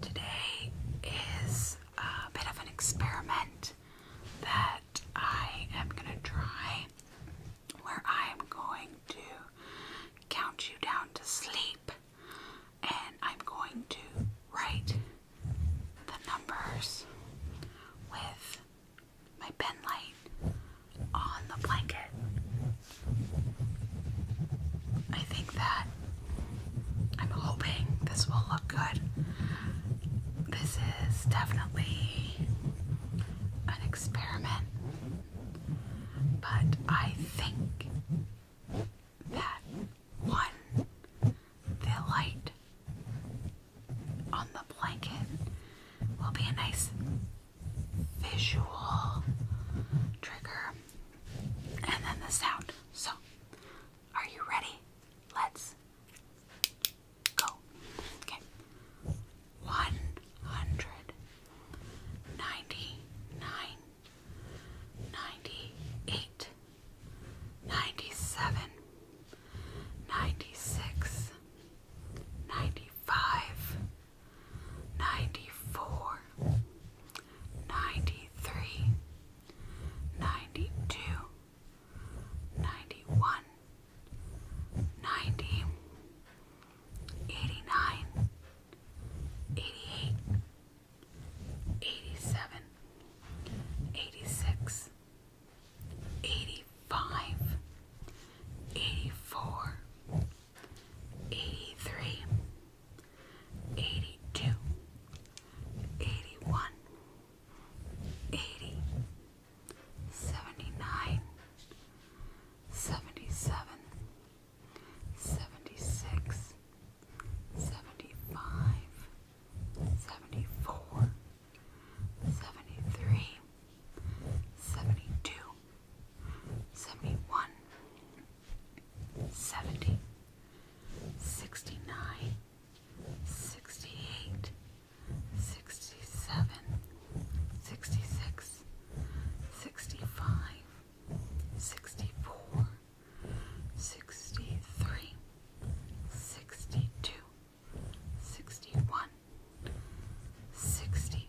Today is a bit of an experiment that I am going to try where I am going to count you down to sleep and I'm going to write the numbers with my penlight on the blanket. I think that I'm hoping this will look good. This is definitely an experiment, but I think that one, the light on the blanket will be a nice visual trigger and then the sound. So, are you ready? Let's go. Okay. One hundred ninety nine, ninety eight, ninety seven, ninety six, ninety five. 94 93 92 87 86 85 84 83 82 81 76 75 74 73 72 71 70, 69, 68, 67, 66, 65, 64, 63, 62, 61, 60,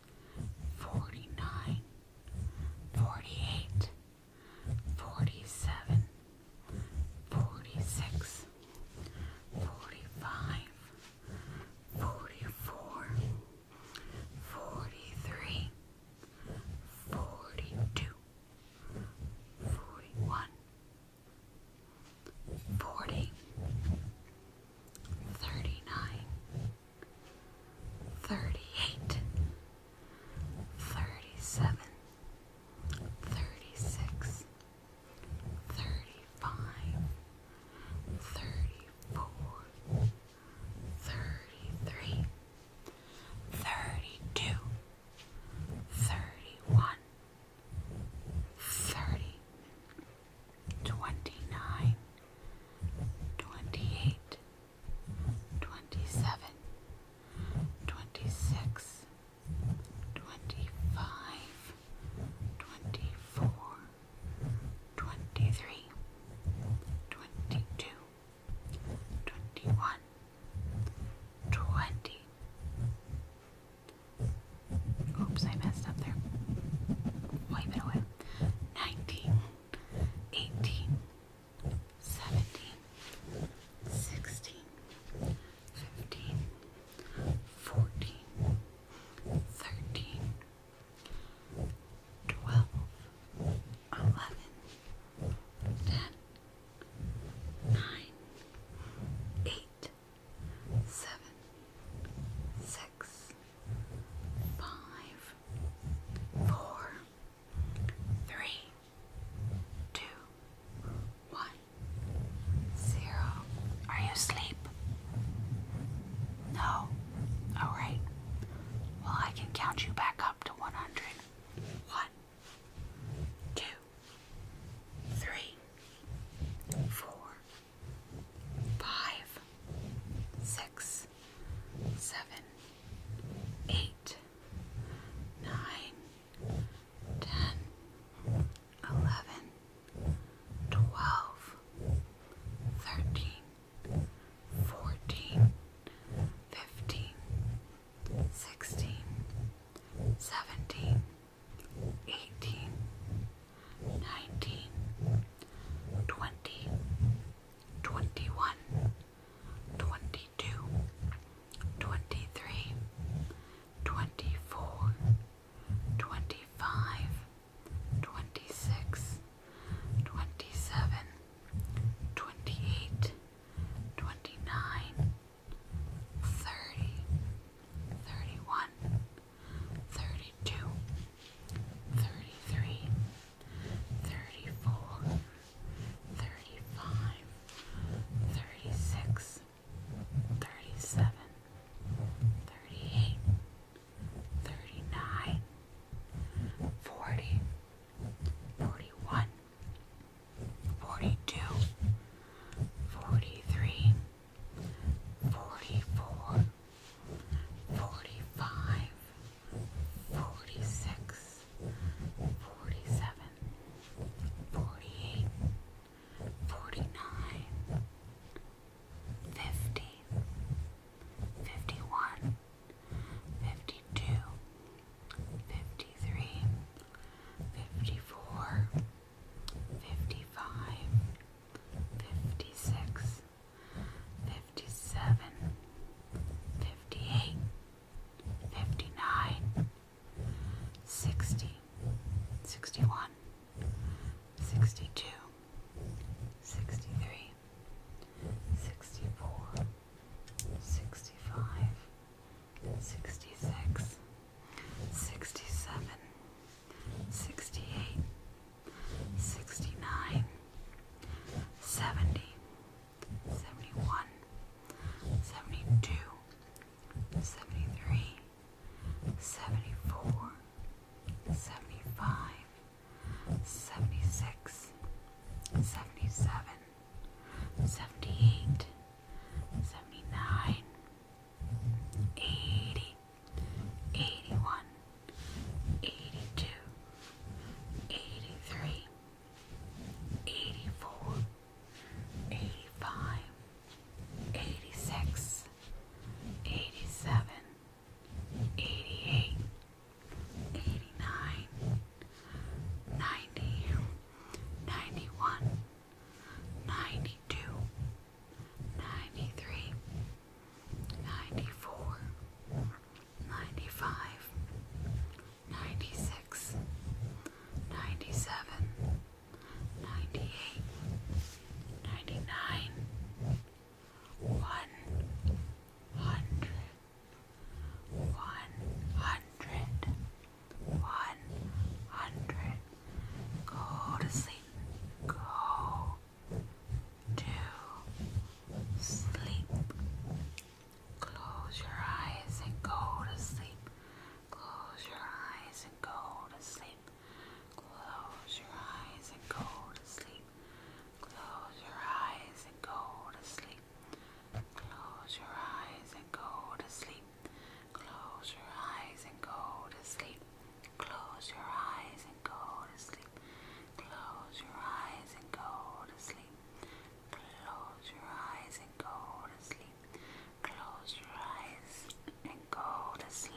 49 48 47 46 44 43 42 41 39 thirty-eight, thirty-seven, thirty-six, thirty-five, thirty-four, thirty-three, thirty-two, thirty-one, thirty twenty-nine, twenty-eight, twenty-seven, twenty-six, twenty-five, twenty-four, twenty-three, twenty-two, twenty-one, twenty. Oops, I messed up there. Wipe it away. Nineteen eighteen, seventeen, sixteen, fifteen, fourteen, thirteen, twelve, eleven, ten, nine, eight, seven, six six, five, four, three, two, one, zero. Are you asleep? No. All right. Well, I can count you back up to 100. One, two, three, four, five, six, seven, eight, nine, ten, eleven, twelve, thirteen, fourteen, fifteen, sixteen, seventeen, eighteen nineteen, twenty, twenty-one, twenty-two, twenty-three, twenty-four, twenty-five, twenty-six, twenty-seven, twenty-eight, twenty-nine, thirty, thirty-one thirty-two, thirty-three, thirty-four, thirty-five, thirty-six, thirty-seven, thirty-eight, thirty-nine, forty, forty-one, forty-two, forty-three. 42 44 45 46 47 48 49 50 51 52 53 54 55 56, 57, 58, 59, 60, 61, 62, 63, 64, 65, 66, 67, 68, 69, 70, 71, 72, 73, 74, 75, 76, 77, 78, 79, eighty, eighty one, eighty two, eighty three, eighty four, eighty five, eighty six, eighty seven, eighty eight, eighty nine, ninety, ninety one. 92 93 94 95 96 97 98 99 100 one hundred. Go to sleep. Go to sleep. Close your eyes and go to sleep. Close your eyes and go to sleep. Close your eyes and go to sleep. Close your eyes and go to sleep. Close your eyes and go to sleep. Close your eyes and go to sleep. Close your eyes and go to sleep. Close your eyes and go to sleep. Close your eyes and go to sleep. Close your eyes and go to sleep.